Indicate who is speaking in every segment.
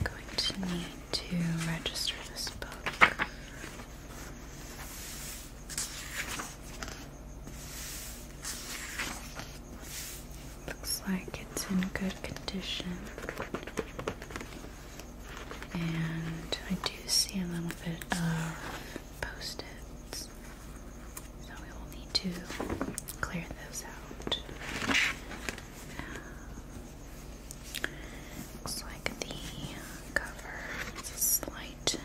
Speaker 1: i going to need to register this book. Looks like it's in good condition. And I do see a little bit of post-its. So we will need to clear those out looks like the cover has a slight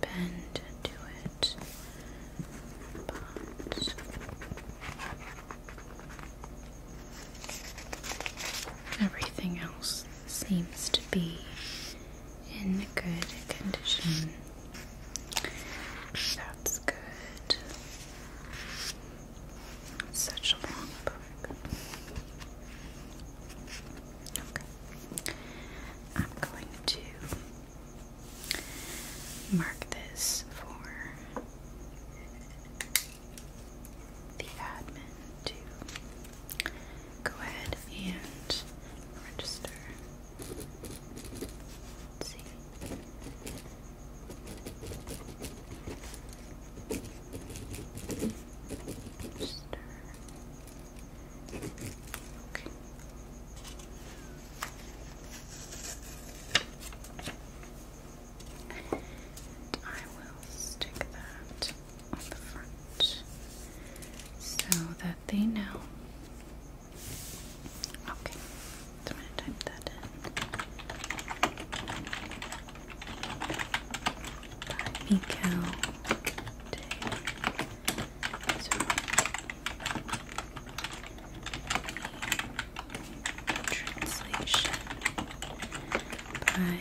Speaker 1: bend to it, but. Everything else seems to be in good condition. That's good. Such a long book. Okay. I'm going to mark this for the admin to go ahead and register. Okay. I will stick that on the front so that they know. Okay, Miko so, translation by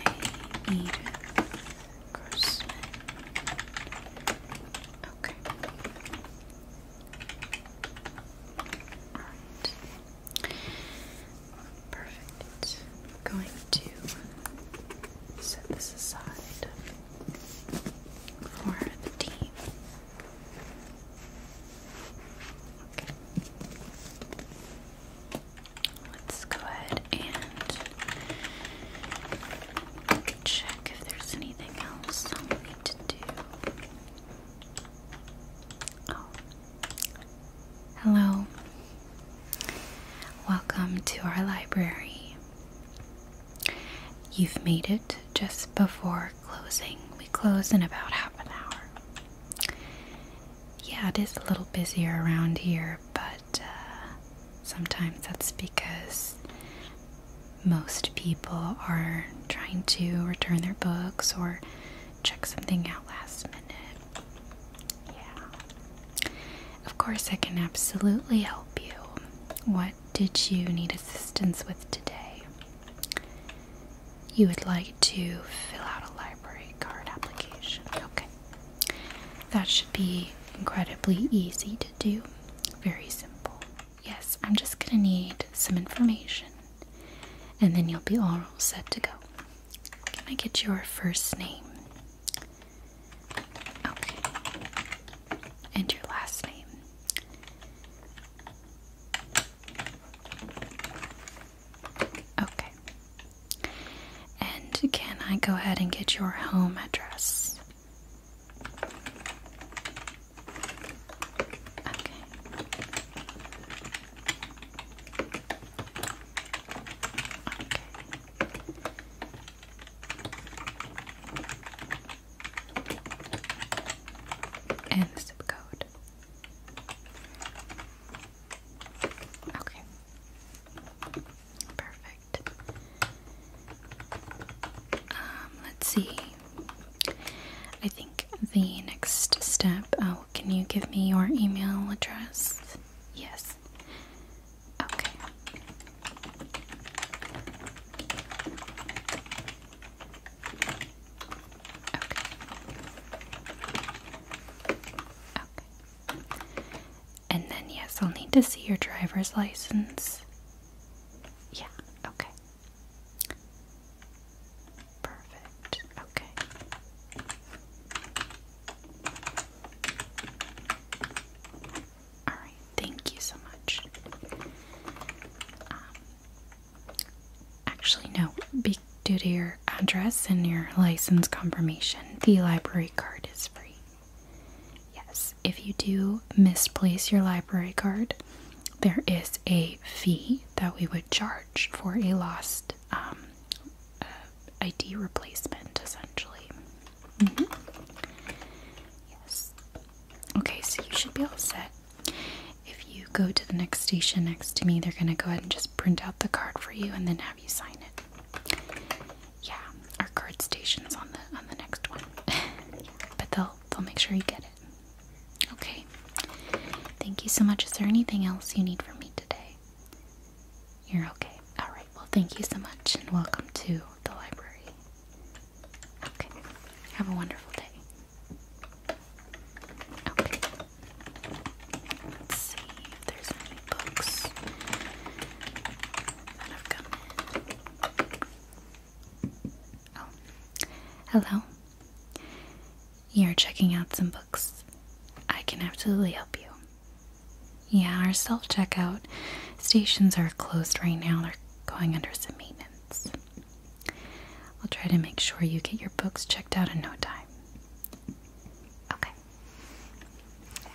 Speaker 1: Edith Grossman. Okay. Alright. Perfect. I'm going to set this aside for the tea. Let's go ahead and check if there's anything else we need to do. Oh, Hello. Welcome to our library. You've made it just before closing. We close in about half an hour. Yeah, it is a little busier around here, but uh, sometimes that's because most people are trying to return their books or check something out last minute. Yeah. Of course, I can absolutely help you. What did you need assistance with today? You would like to fill out a library card application. Okay. That should be incredibly easy to do. Very simple. Yes, I'm just going to need some information and then you'll be all set to go. Can I get your first name? Okay. And your last name. Okay. And can I go ahead and get your home address? Okay. And the zip code. Okay. Perfect. Um, let's see. I think the next step uh, can you give me your email address? Yes. Okay. Okay. Okay. And then, yes, I'll need to see your driver's license. Yeah, okay. Perfect. Okay. Alright, thank you so much. Um, actually, no, due to your address and your license confirmation, the library card is free. Yes, if you do misplace your library card, there is a fee that we would charge for a lost um, uh, ID replacement, essentially. Mm-hmm. Yes. Okay, so you should be all set. If you go to the next station next to me, they're going to go ahead and just print out the card for you and then have you sign it. Yeah, our card station's on the on the next one. but they'll they'll make sure you get it. Okay. Thank you so much. Is there anything else you need from me today? You're okay. Alright, well, thank you so much and welcome to the library. Okay, have a wonderful day. Okay, let's see there's any books that have Oh, hello. You're checking out some books. I can absolutely help you. Yeah, our self checkout stations are closed right now. They're going under some maintenance. I'll try to make sure you get your books checked out in no time. Okay.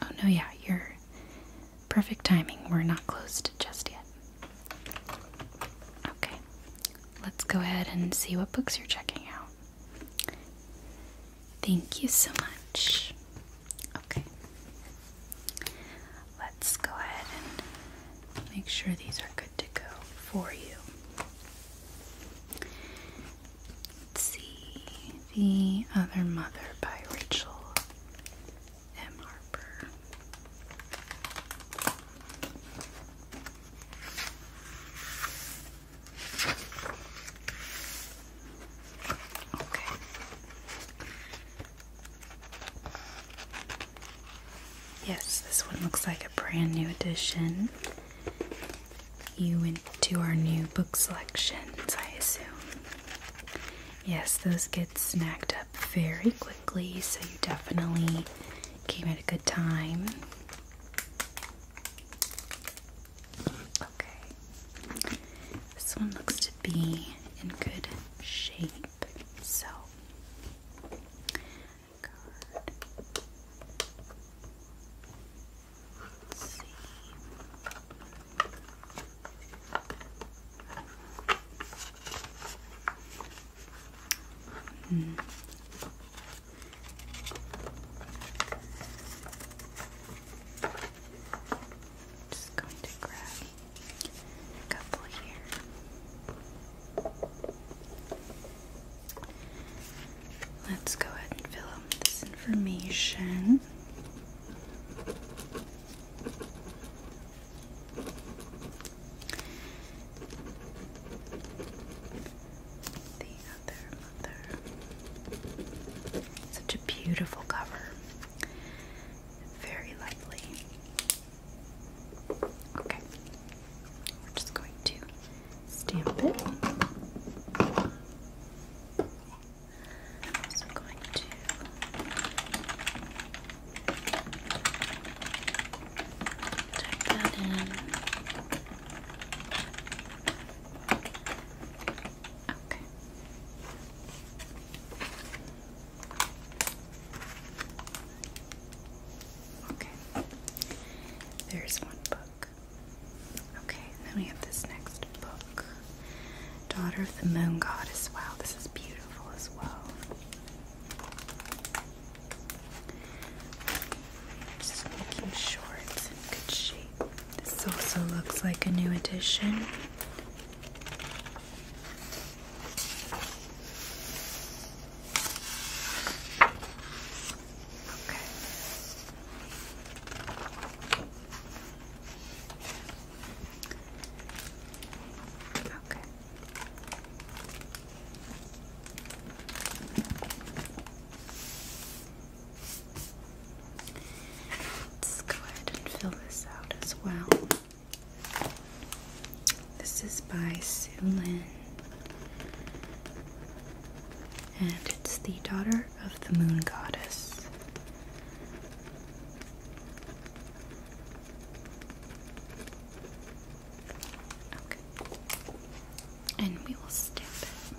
Speaker 1: Oh, no, yeah, you're perfect timing. We're not closed just yet. Okay, let's go ahead and see what books you're checking out. Thank you so much. Okay. Let's go ahead and make sure these are good to go for you. Let's see. The Other Mother by Rachel M. Harper. Okay. Yes, this one looks like a brand new edition. You went to our new book selections, I assume. Yes, those get snacked up very quickly, so you definitely came at a good time. Okay. This one looks to be in good shape. So, Let's see. Mm. Just going to grab a couple here. Let's go ahead and fill out this information. Such a beautiful cover. Very lovely. Okay. We're just going to stamp it. i going to type that in. Okay. Okay. There's one book. Okay, then we have this next book. Daughter of the Moon Goddess. well, this is beautiful as well. Just making sure it's in good shape. This also looks like a new addition. Okay. Let's go ahead and fill this out as well. This is by Sue Lin, and it's the daughter of the moon goddess. Okay. And we will stamp it.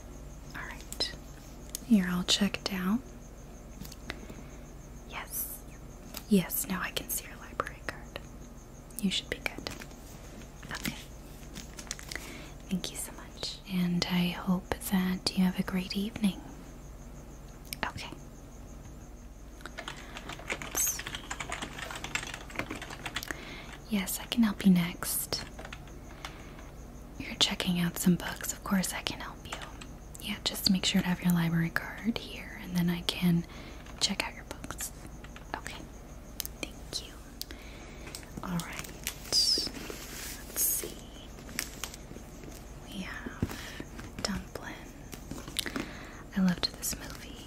Speaker 1: Alright, you're all checked out. Yes, yes, now I can see your library card. You should be good. Okay, thank you so much, and I hope that you have a great evening. Okay. Yes, I can help you next. You're checking out some books. Of course, I can help you. Yeah, just make sure to have your library card here, and then I can check out your books. Okay, thank you. Alright, let's see. We have Dumplin. I loved this movie.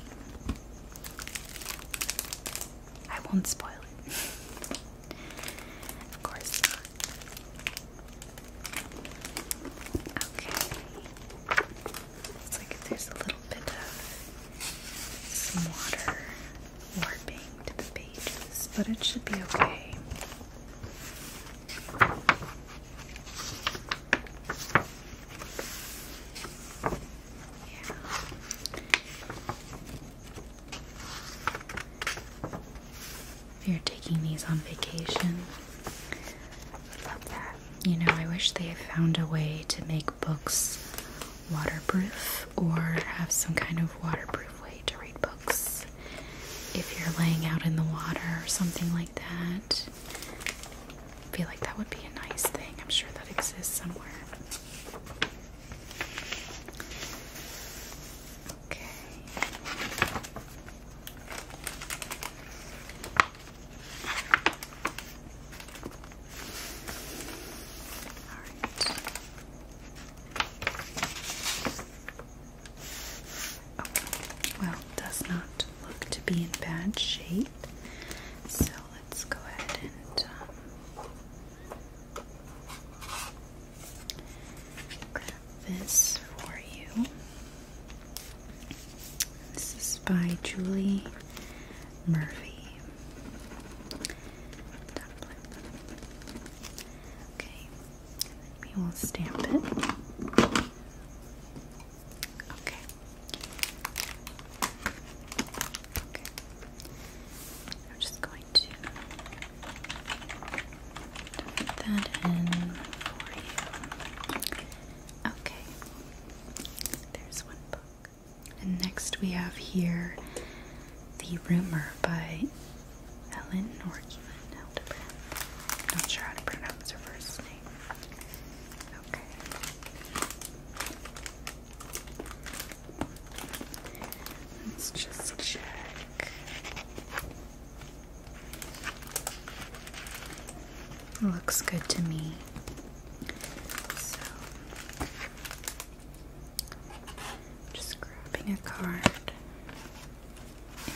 Speaker 1: I won't spoil it. of course not. Okay. It's like there's a little bit of some water warping to the pages, but it should be okay. Yeah. If you're taking these on vacation, I love that. You know, I wish they had found a way to make books waterproof or have some kind of waterproof way to read books. If you're laying out in the water or something like that, I feel like that would be a nice thing. I'm sure that exists somewhere. Okay. All right. Okay. Well, does not look to be in bad shape. So let's go ahead and um, Grab this for you. This is by Julie Murphy. Okay, we will stamp it. Okay. I'm just going to put that in for you. Okay, there's one book. And next we have here The Rumor by Ellen or Evelyn Hildebrand. Not sure how to pronounce her first name. Okay. Let's just check. Looks good to me. So, just grabbing a card and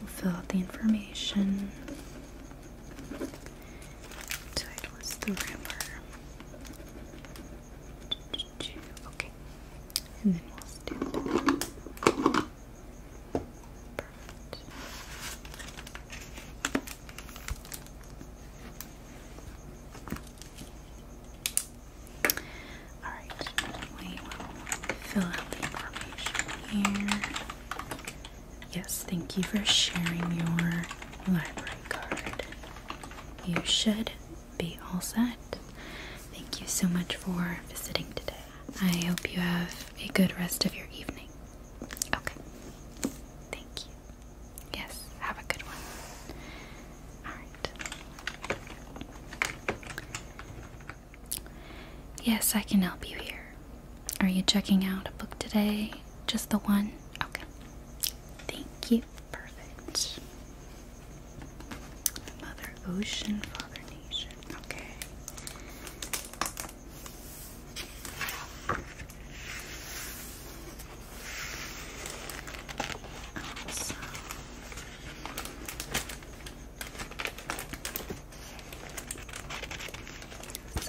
Speaker 1: we'll fill out the information. Title is The River. Okay. And then we'll stamp it. Perfect. Alright, we will fill out the information here. Yes, thank you for sharing your library card you should be all set. Thank you so much for visiting today. I hope you have a good rest of your evening. Okay. Thank you. Yes, have a good one. Alright. Yes, I can help you here. Are you checking out a book today? Just the one? Okay. Thank you. Perfect. Mother Ocean, Father Nation. Okay.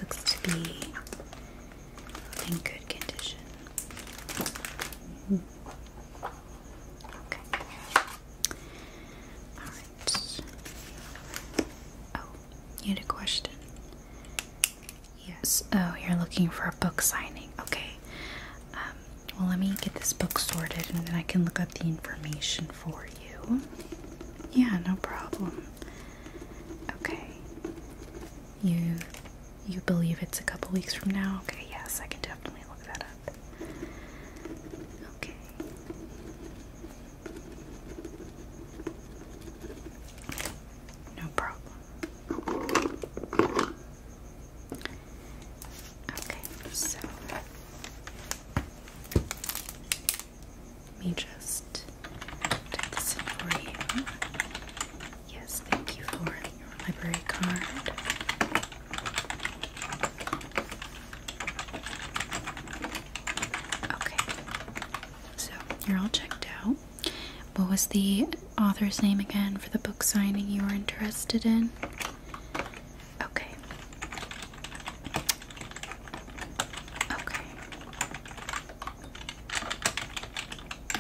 Speaker 1: looks to be in good condition. Oh, you had a question. Yes. Oh, you're looking for a book signing. Okay. Um, well, let me get this book sorted, and then I can look up the information for you. Yeah, no problem. Okay. You you believe it's a couple weeks from now? Okay, yes, I can definitely look that up. Okay. No problem. Okay, so let me just take this in for you. Yes, thank you for your library card. Okay, so you're all checked out. What was the author's name again for the book signing you were interested in? Okay. Okay.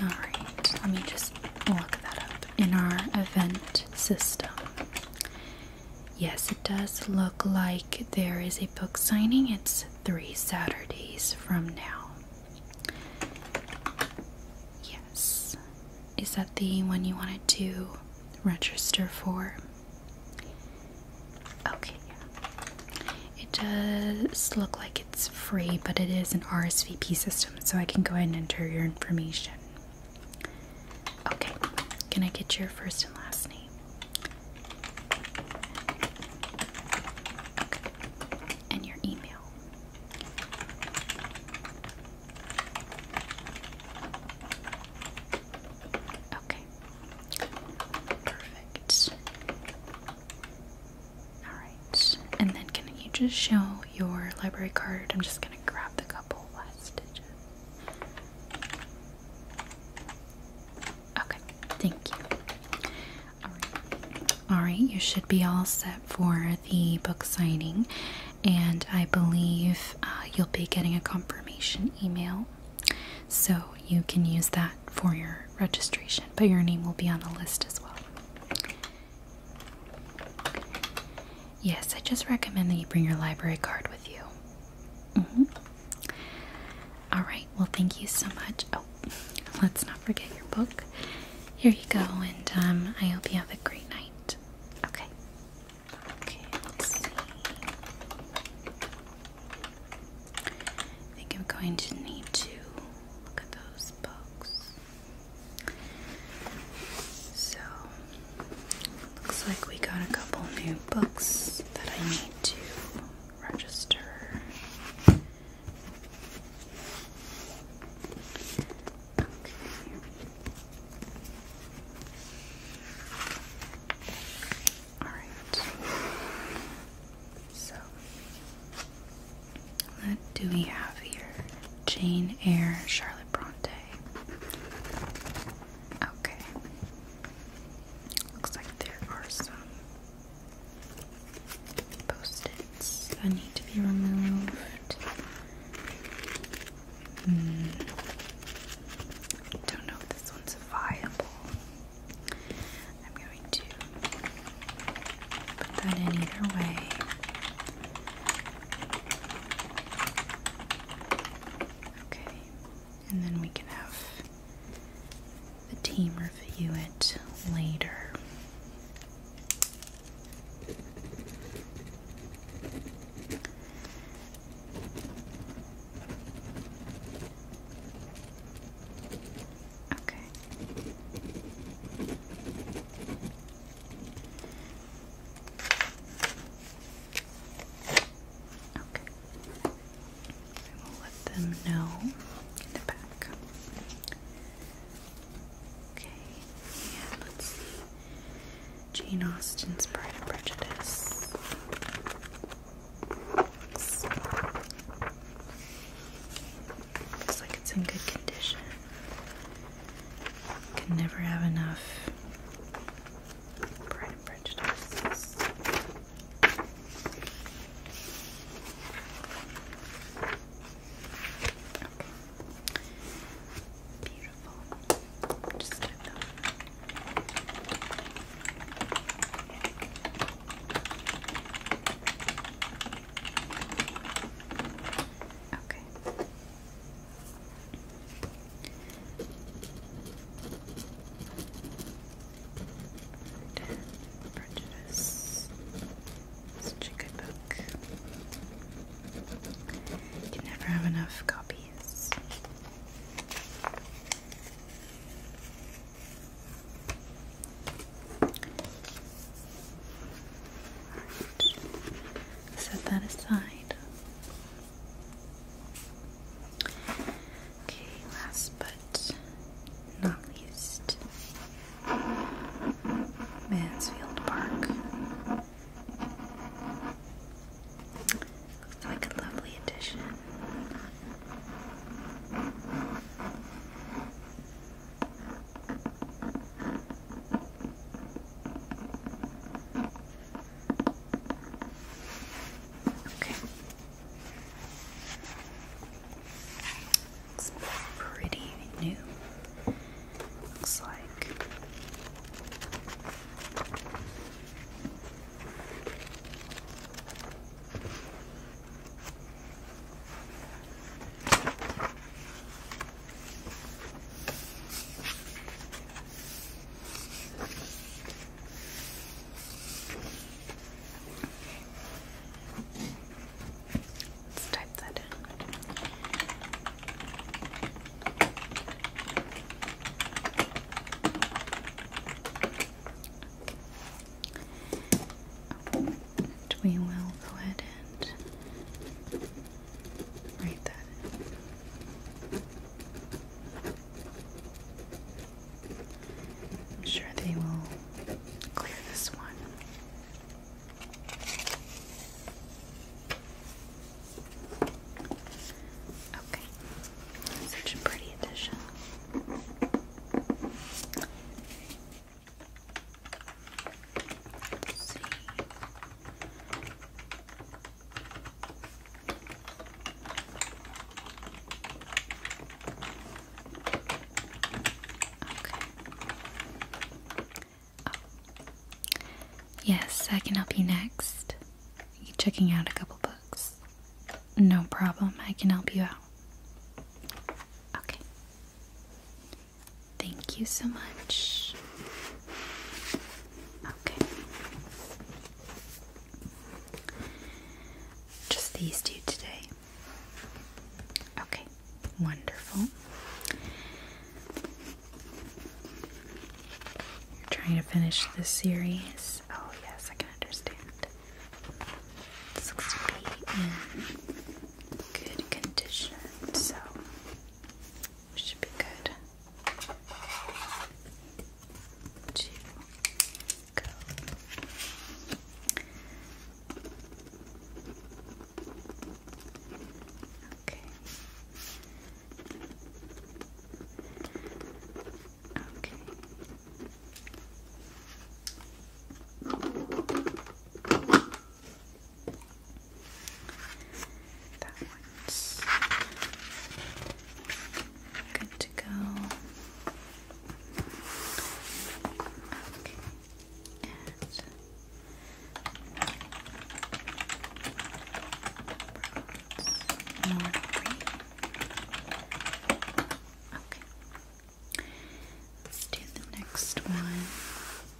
Speaker 1: Alright, let me just look that up in our event system. Yes, it does look like there is a book signing. It's three Saturdays from now. Yes. Is that the one you wanted to register for? Okay, It does look like it's free, but it is an RSVP system, so I can go ahead and enter your information. Okay, can I get your first and last name? And your email. Okay. Perfect. Alright, and then can you just show your library card? I'm just gonna grab the couple last digits. Okay, thank you. Alright, you should be all set for the book signing, and I believe uh, you'll be getting a confirmation email. So you can use that for your registration, but your name will be on the list as well. Yes, I just recommend that you bring your library card with you. Mm-hmm. Alright, well, thank you so much. Oh, let's not forget your book. Here you go, and um, I hope you have a great night. Okay. Okay, see. I think I'm going to need to look at those books. So, looks like we got a couple new books that I need to register. All right. So, what do we have here? Jane Eyre, Charlotte Bronte. Okay. Looks like there are some post that need to be removed. Mm. I don't know if this one's viable. I'm going to Put that in either way. Okay, and then we can have the team review it later. Okay. Okay. I will let them know in the back. Okay, and let's see. Jane Austen's Pride and Prejudice. Looks like it's in good condition. Can never have enough Pride and Beautiful. Just gonna Okay. Prejudice. Such a good book. You never have enough copies. Set that aside. Okay, last but not least, Mansfield Park. Looks like a lovely addition. Okay. It's pretty new. Looks like Let's type that in. we will go ahead and Write that I'm sure they will clear this one. Okay, such a pretty addition. Oh. Yes, I can help you next. You're checking out a couple books. No problem, I can help you out. Okay. Thank you so much. Okay. Just these two today. Okay, wonderful. You're trying to finish this series. Oh, yes, I can understand. looks to be in good condition, so should be good to go. Okay. Okay. That one's good to go. Okay. Uh, Let's do the next one.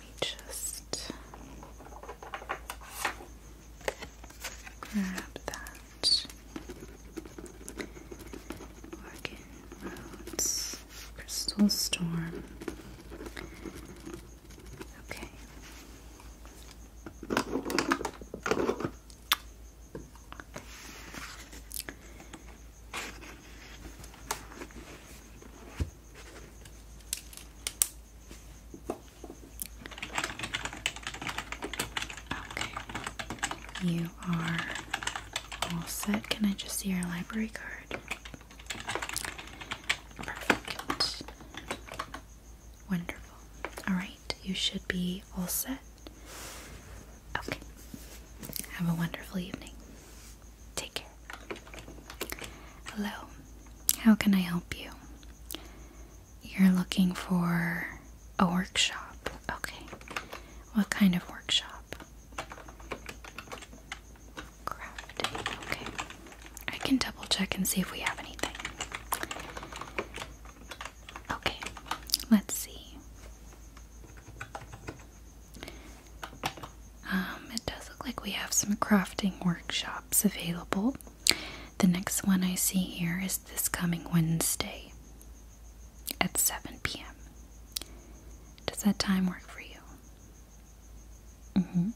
Speaker 1: me just grab that Morgan Roads Crystal Storm. Okay. You are all set. Can I just see your library card? Perfect. Wonderful. Alright, you should be all set. Okay. Have a wonderful evening. Take care. Hello. How can I help you? You're looking for a workshop. Okay. What kind of workshop? Crafting. Okay. I can double check and see if we have anything. Okay. Let's see. Um, it does look like we have some crafting workshops available. The next one I see here is this coming Wednesday at 7 p.m. Does that time work for you? Mm-hmm.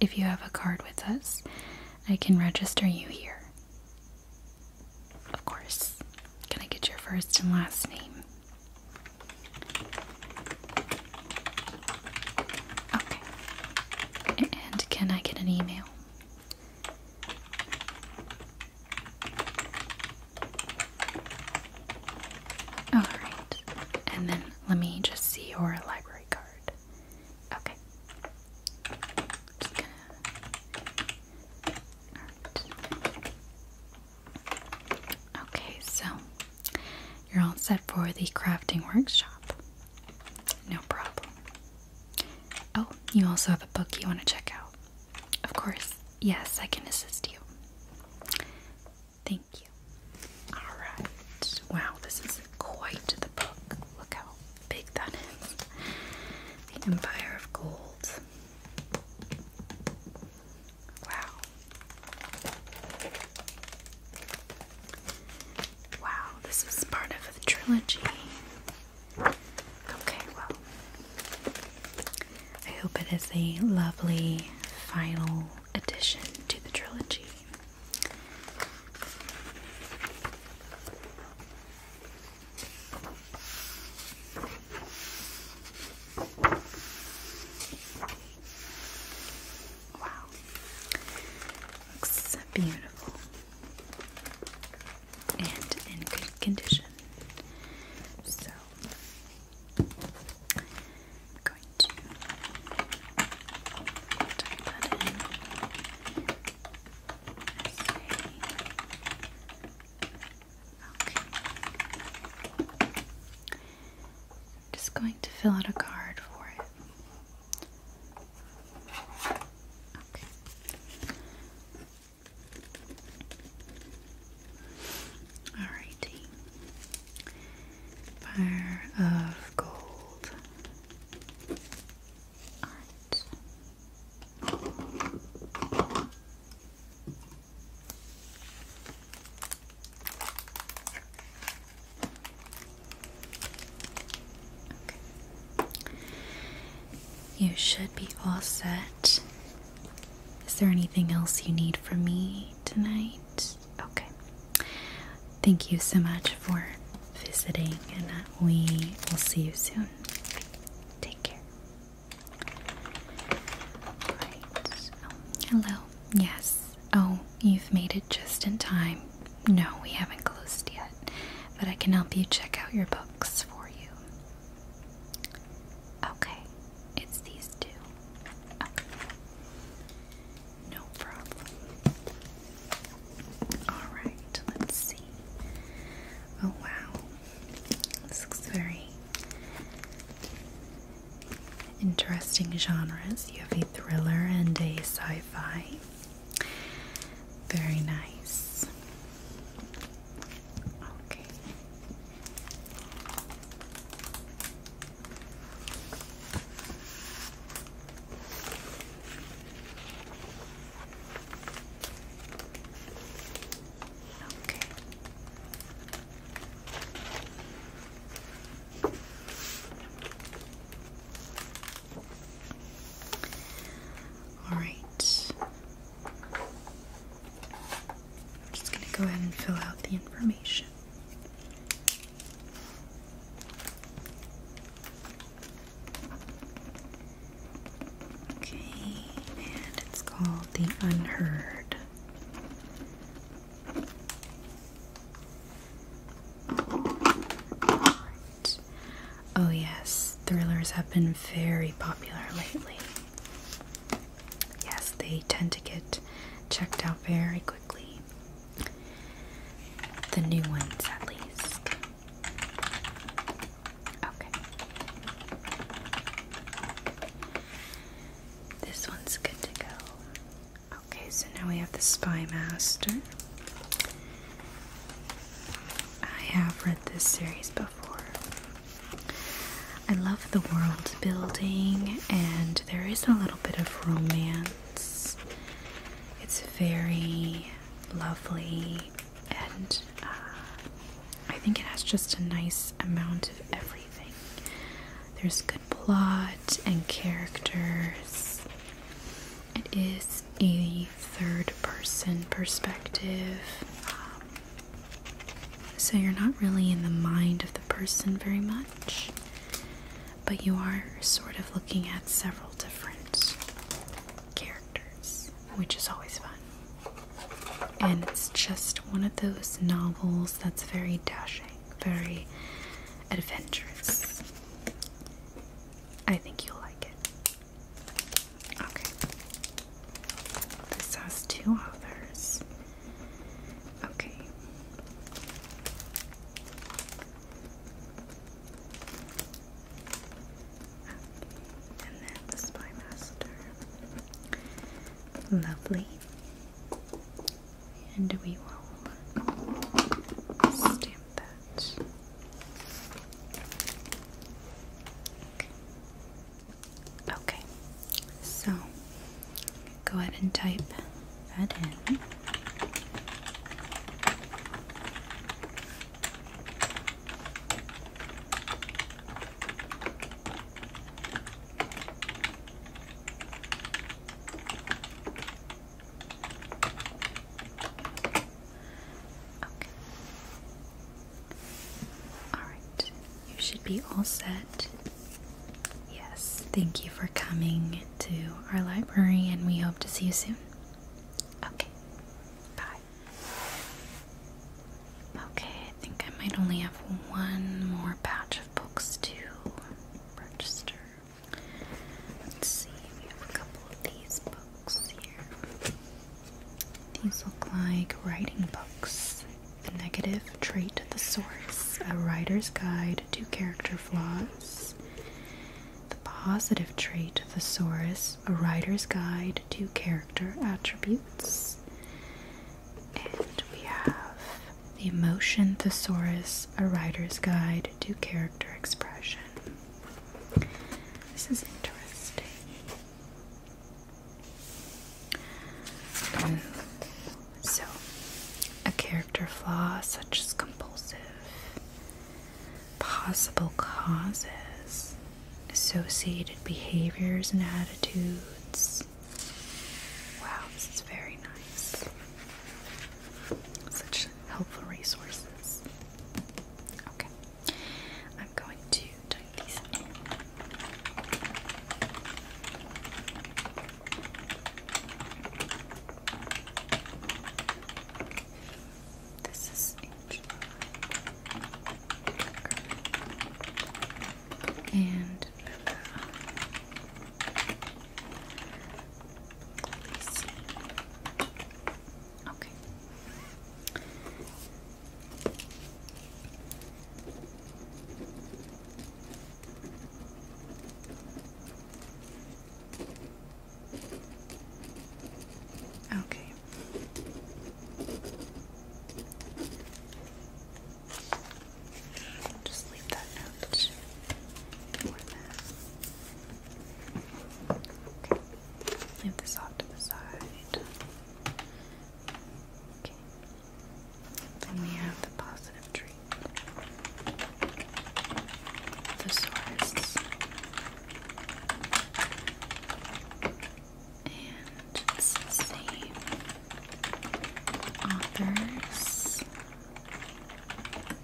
Speaker 1: if you have a card with us, I can register you here. Of course. Can I get your first and last name? Okay. And can I get an email? Alright. And then let me just see your library card. Okay. Okay, so you're all set for the crafting workshop. No problem. Oh, you also have a book you want to check out. Of course. Yes, I can assist you. Thank you. Alright. Wow, this is quite the book. Look how big that is. The Empire of Gold. Wow. Wow, this is part of the trilogy. Okay, well, I hope it is a lovely final addition to the trilogy. Wow. Looks beautiful. And in good condition. So I'm going to type that in okay I'm just going to fill out a card for it. Okay. Alrighty. Fire of gold. Alright. You should be all set. Is there anything else you need from me tonight? Okay. Thank you so much for visiting, and uh, we will see you soon. Take care. Oh, hello. Yes. Oh, you've made it just in time. No, we haven't closed yet, but I can help you check out your books for you. Okay, it's these two. No problem. Alright, let's see. Oh wow. This looks very Interesting genres. You have a thriller and a sci fi. Very nice. Okay. Okay. All just going to go ahead and fill out the information. Okay, and it's called the unheard. Oh, yes, thrillers have been very popular lately. Yes, they tend to get checked out very quickly. The new ones, at least. Okay. This one's good to go. Okay, so now we have the Spy Master. I have read this series before. I love the world building, and there is a little bit of romance. It's very lovely, and uh, I think it has just a nice amount of everything. There's good plot and characters. It is a third person perspective. so you're not really in the mind of the person very much, but you are sort of looking at several different characters, which is always fun. And it's just one of those novels that's very dashing very adventurous. I think you'll like it. Okay. This has two others. Okay. And then the Spy Master. Lovely and we will stamp that. Okay. so go ahead and type that in. Okay. Alright, you should be all set. Yes, thank you for coming to our library, and we hope to see you soon. Okay, bye. Okay, I think I might only have one more batch of books to register. Let's see, we have a couple of these books here. These look like writing books. The negative trait the source, a writer's guide to character flaws. The positive trait thesaurus, a writer's guide to character attributes. And we have the emotion thesaurus, a writer's guide to character expression. This is interesting. so, a character flaw such as compulsive, possible causes, associated behaviors and attitudes. Wow, this is very nice. Such helpful resources. Okay, I'm going to type these This is and. Uh, let me Okay. Okay. just leave that out for that. Okay. Leave this off to the side. Okay. Then we have the positive tree. Thesaurus. And same authors.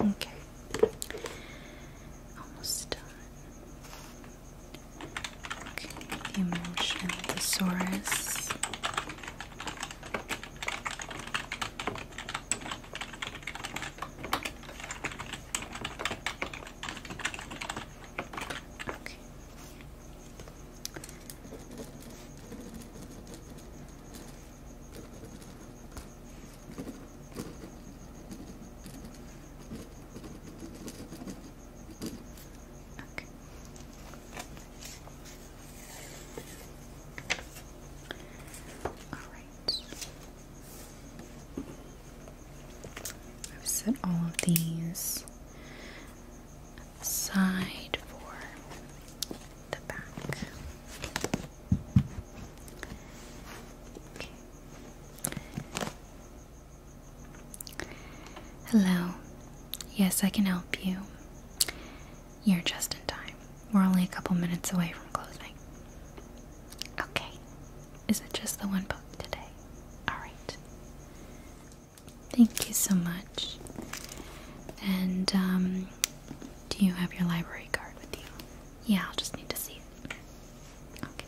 Speaker 1: Okay. Almost done. Okay, emotion, the Okay. Okay. All right. I've set all of these side for the back. Hello. Yes, I can help you. You're just in time. We're only a couple minutes away from closing. Okay. Is it just the one book today? Alright. Thank you so much. And um, do you have your library card with you? Yeah, I'll just need to see it. Okay.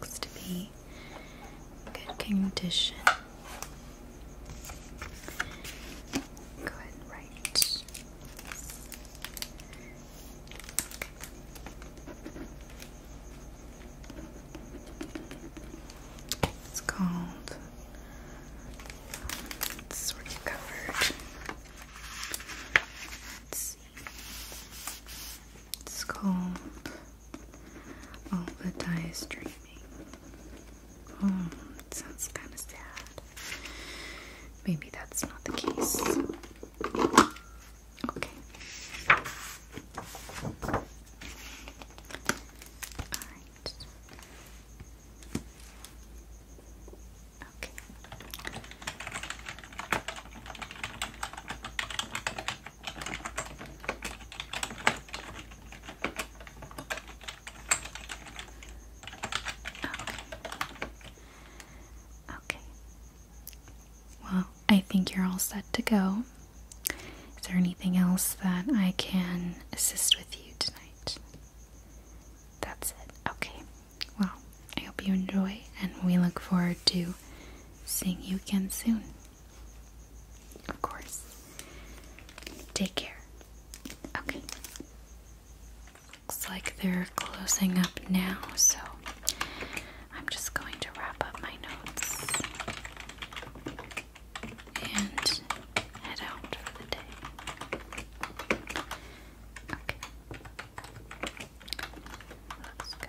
Speaker 1: Looks to be good condition. Go ahead and write it's called it's Let's see. It's called All the Die is Dreaming. Oh, it sounds kind of sad. Maybe that's not the case. Okay. All right. Okay. Okay. Okay. Well, I think you're all set to go. Is there anything else that I can assist with you tonight? That's it. Okay. Well, I hope you enjoy, and we look forward to seeing you again soon. Of course. Take care. Okay. Looks like they're closing up now, so I'm just going to wrap up my notes and head out for the day. Okay. Looks good.